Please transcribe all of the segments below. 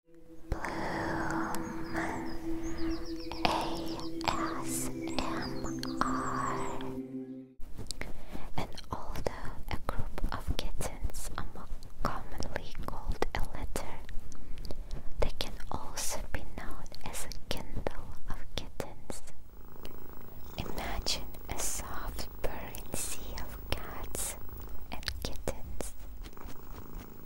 ASMR and although a group of kittens commonly called a litter, they can also be known as a kindle of kittens. Imagine a soft purring sea of cats and kittens.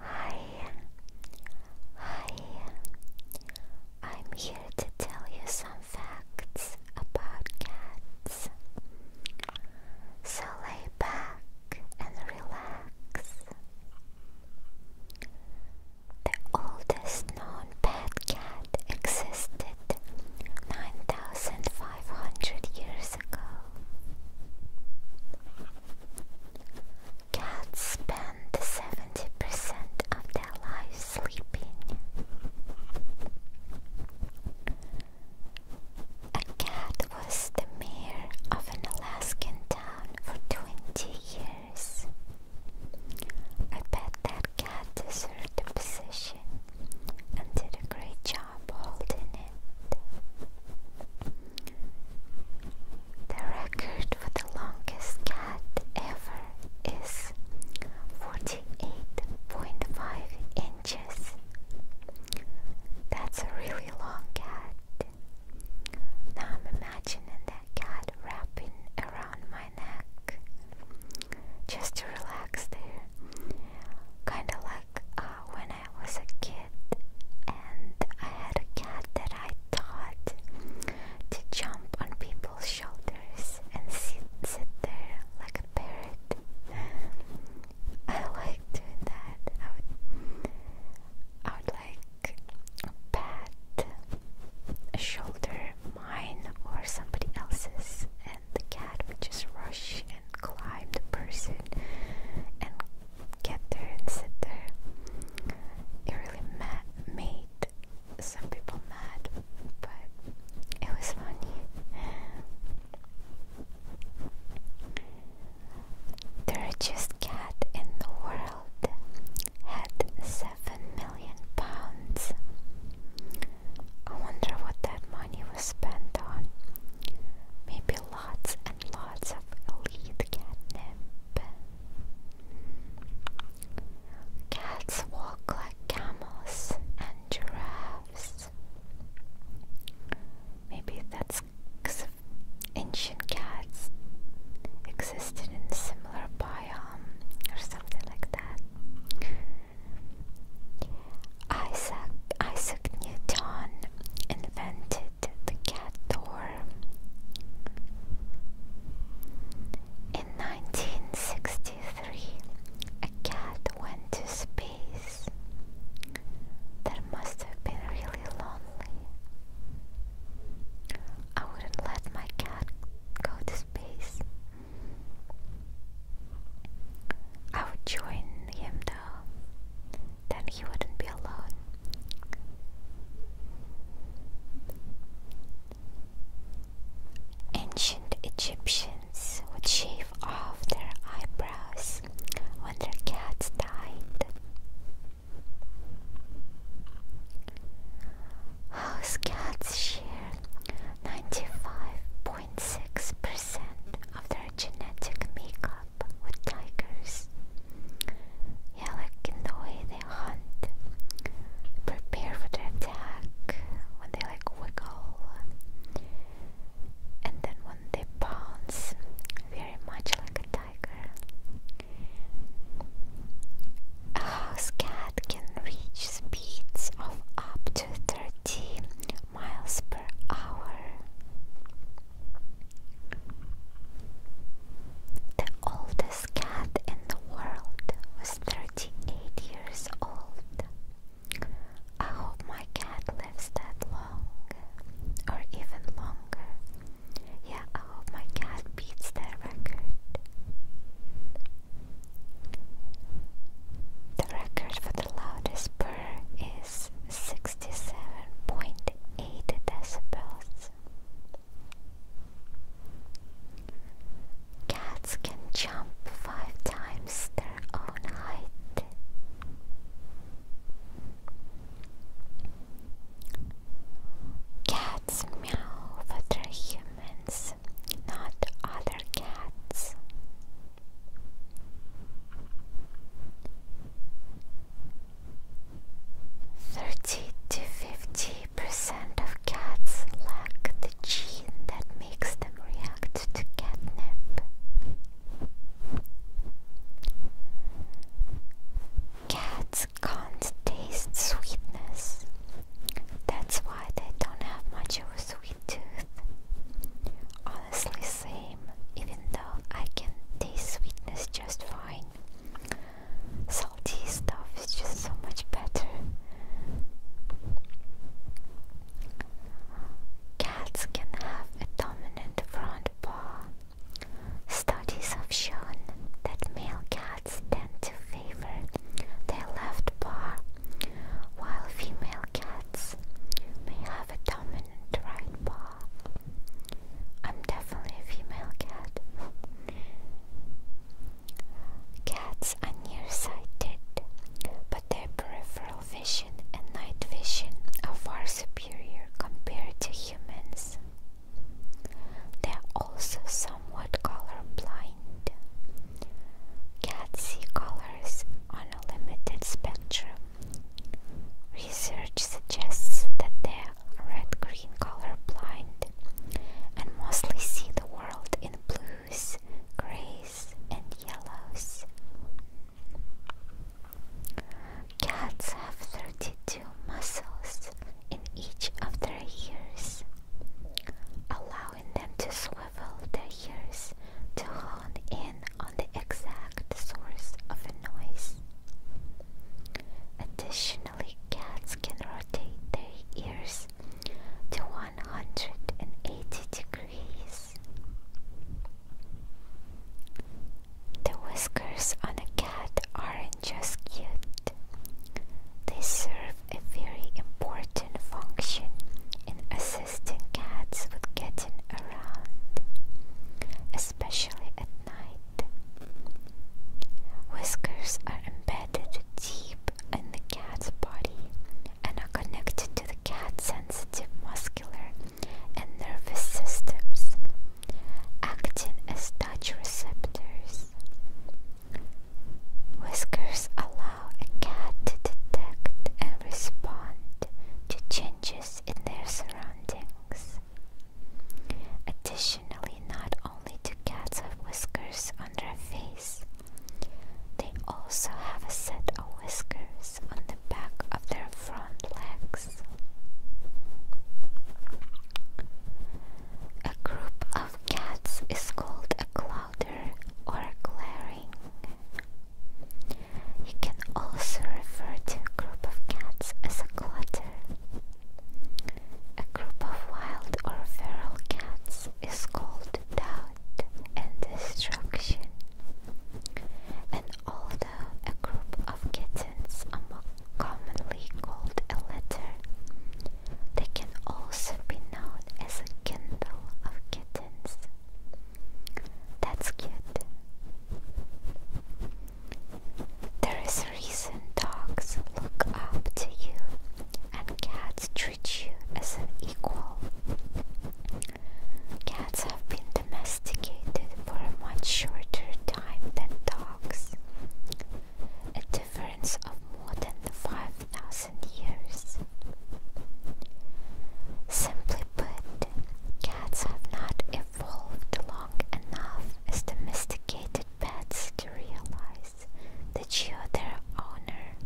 Hi. Hi. I'm here to tell you some facts about cats. So lay back and relax. The oldest known pet cat existed 9,500 years ago. Cats spend 70% of their lives sleeping. A cat was the mayor of an Alaskan town for 20 years. I bet that cat deserved the position and did a great job holding it. The record for the longest cat ever is 48.5 inches. That's a really long cat. Now I'm imagining that cat wrapping around my neck just to relax there. Kind of like uh, when I was a kid and I had a cat that I thought to jump on people's shoulders and sit, sit there like a parrot. I like doing that. I would, I would like pat a shoulder, mine or somebody else's, and the cat would just rush and climb the person and get there and sit there. It really ma made some people mad, but it was funny. The richest cat in the world had seven million pounds. I wonder what that money was spent on. Maybe lots and lots of elite catnip. Cats walk like camels and giraffes. Maybe that's because ancient cats existed in a similar biome or something like that. Isaac, Isaac Newton invented the cat door in 1963, a cat went to space. That must have been really lonely. I wouldn't let my cat go to space. I would join him though then he wouldn't be alone. Ancient Egyptians would shave off their eyebrows when their cats died. House cats share 95.6% of their genetic makeup with tigers. Yeah, like in the way they hunt, prepare for their attack, when they like wiggle, and then when they pounce, very much like a tiger. A house cat can reach speeds of up to 30 miles per hour. The oldest cat in the world was 38 years old. I hope my cat lives that long, or even longer. Yeah, I hope my cat beats that record. The record for the loudest purr 67.8 decibels. Cats can jump five times their own height. Cats meow, but they're humans, not other cats. 30 to 50% of cats lack the gene that makes them react to catnip. Cats can't taste sweetness. That's why they don't have much of a sweet tooth. Honestly, same, even though I can taste sweetness just fine. Salty stuff is just so much better. Cats can have a dominant front paw. Studies have shown that male cats tend to favor their left paw, while female cats may have have a dominant right paw. I'm definitely a female cat. Cats are nearsighted, but their peripheral vision and night vision are far superior compared to humans. They are also somewhat colorblind. Cats see colors on a limited spectrum, Research suggests that they are red-green color blind and mostly see the world in blues, grays, and yellows. Cats have 32 muscles in each of their ears, allowing them to swivel their ears to hone in on the exact source of a noise. Additionally, cats can rotate their ears to 180 degrees. The whiskers on a cat aren't just cute, they serve a very important function in assisting cats with getting around, especially at night. Whiskers are embedded deep in the cat's body and are connected to the cat's sensitive muscular and nervous systems, acting as touch receptors. Whiskers allow a cat to detect and respond to changes in their surroundings. Additionally, not only do cats have whiskers on their face, they also have a set of whiskers on the back of their front legs. A group of cats is called a clowder or a glaring. You can also refer to a group of cats as a clutter. A group of wild or feral cats is called doubt and destruction. And although a group of kittens are more commonly called a litter, they can also be known as a kindle of kittens. That's cute. There is a reason dogs look up to you and cats treat you as an equal. Cats have been domesticated for a much shorter time than dogs, a difference of more than 5,000 years. Simply but cats have not evolved long enough as domesticated pets to realize that you're their owner.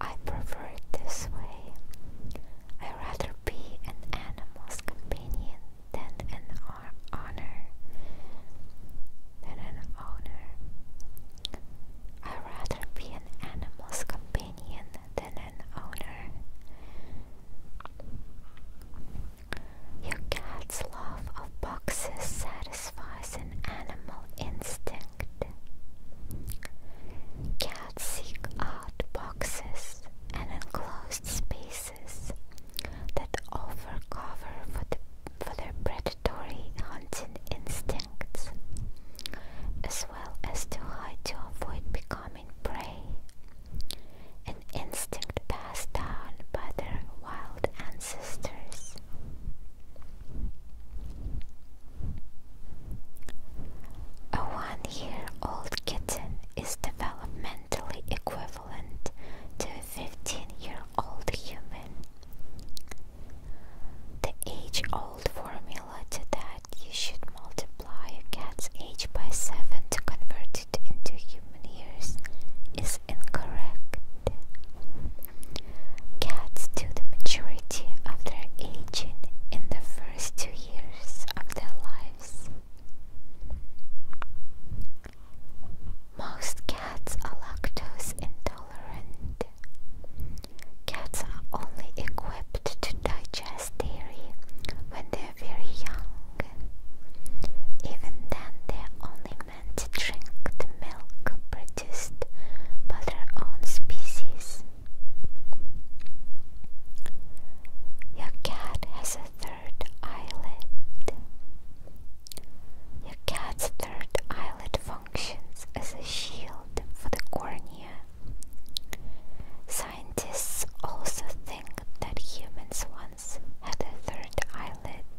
I prefer it this way. I'd rather be an animal's companion than an honor than an owner. i rather be an animal's companion than an owner. Your cat's love of boxes satisfies an animal instinct. Cats seek out boxes and enclosed spaces that offer cover for, their predatory hunting instincts, as to hide to avoid becoming prey. An instinct passed down by their wild ancestors. A one year old kitten is developmentally equivalent to a 15 year old human. The age old formula to that you should multiply a cat's age by 7 to convert it into human years is incorrect. Cats do the majority of their aging in the first two years of their lives. Most cats are lactose intolerant. Cats are only equipped to digest dairy when they're very young. Even then, they're only meant to drink the milk produced by their own species. Your cat has a third eyelid. Your cat's third eyelid functions as a shield for the cornea. Scientists also think that humans once had a third eyelid.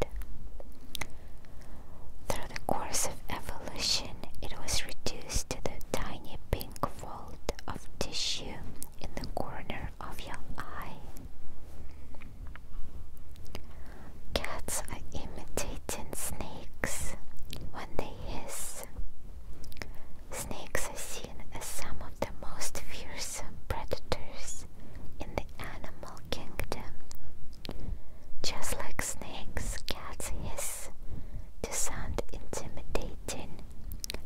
Through the course of evolution, it was reduced to the tiny pink fold of tissue in the corner of your eye. Cats are imitating snakes when they hiss snakes. are seen as some of the most fearsome predators in the animal kingdom. Just like snakes, cats hiss to sound intimidating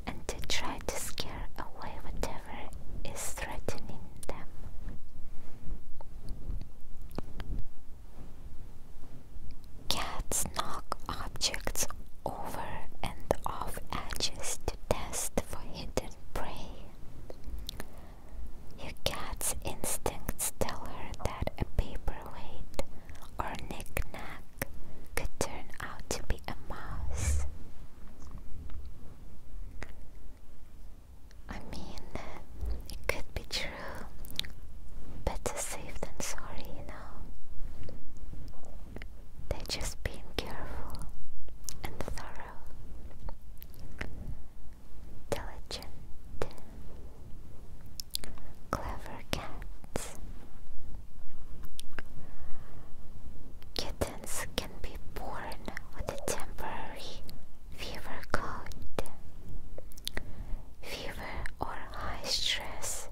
and to try to scare away whatever is threatening them. Cats knock objects over and off edges to test for hidden prey. Your cat's instincts tell her that a paperweight or knick-knack could turn out to be a mouse. I mean, it could be true better safe than sorry, you know. They're just being careful and thorough, diligent, clever cats. Kittens can be born with a temporary fever cold. Fever or high stress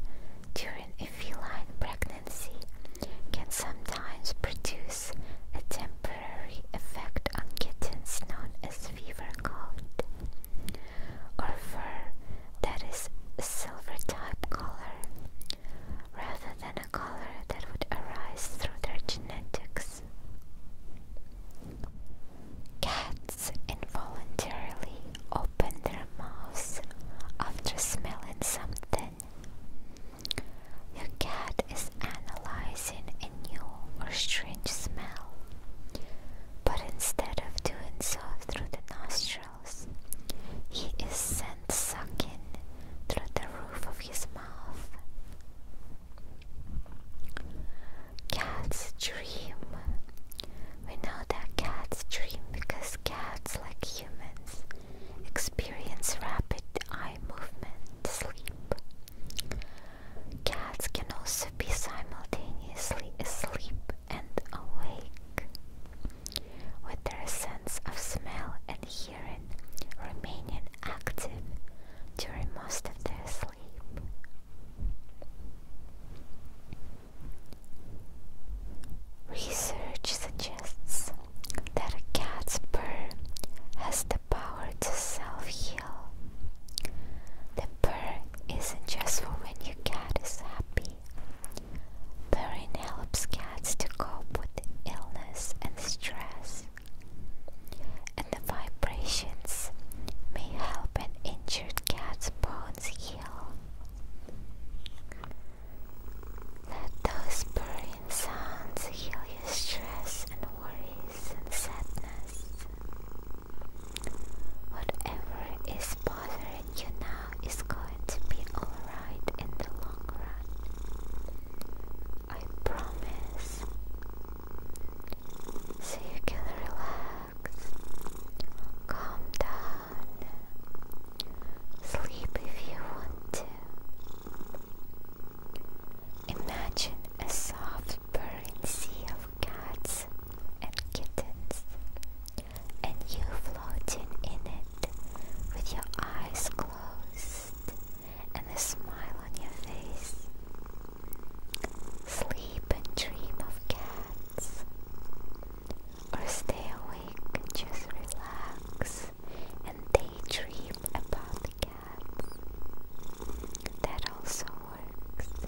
during a feline pregnancy can sometimes produce a temporary effect on kittens known as fever coat or fur that is a silver type color rather than a color that would arise through their genetics. Cats involuntarily open their mouths after smelling something. Your cat is analyzing a new or strange smell, but instead of doing so through the nostrils, he is sent sucking through the roof of his mouth. Cats dream we know that cats dream because cats, like humans, experience rapid eye movement sleep. Cats can also be simultaneously asleep and awake, with their sense of smell and hearing remaining active during most of their sleep. Research suggests that a cat's purr has the power to self heal. The purr isn't just for when your cat is happy, purring helps cats to cope with illness and stress and the vibrations may help an injured cat's bones heal. Let those purring sounds heal your stress and worries and sadness. Whatever is bothering you now is going to be alright in the long run. I promise. So you can relax. Calm down. Sleep if you want to. Imagine a soft, purring sea of cats and kittens, and you floating in it with your eyes closed and a smile on your face. Sleep and dream of cats. Or stay awake and just relax and daydream about the cats. That also works.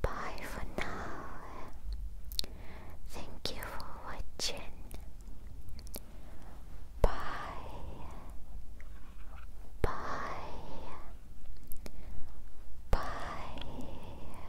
Bye for now. Thank you for watching. Bye. Bye. Bye.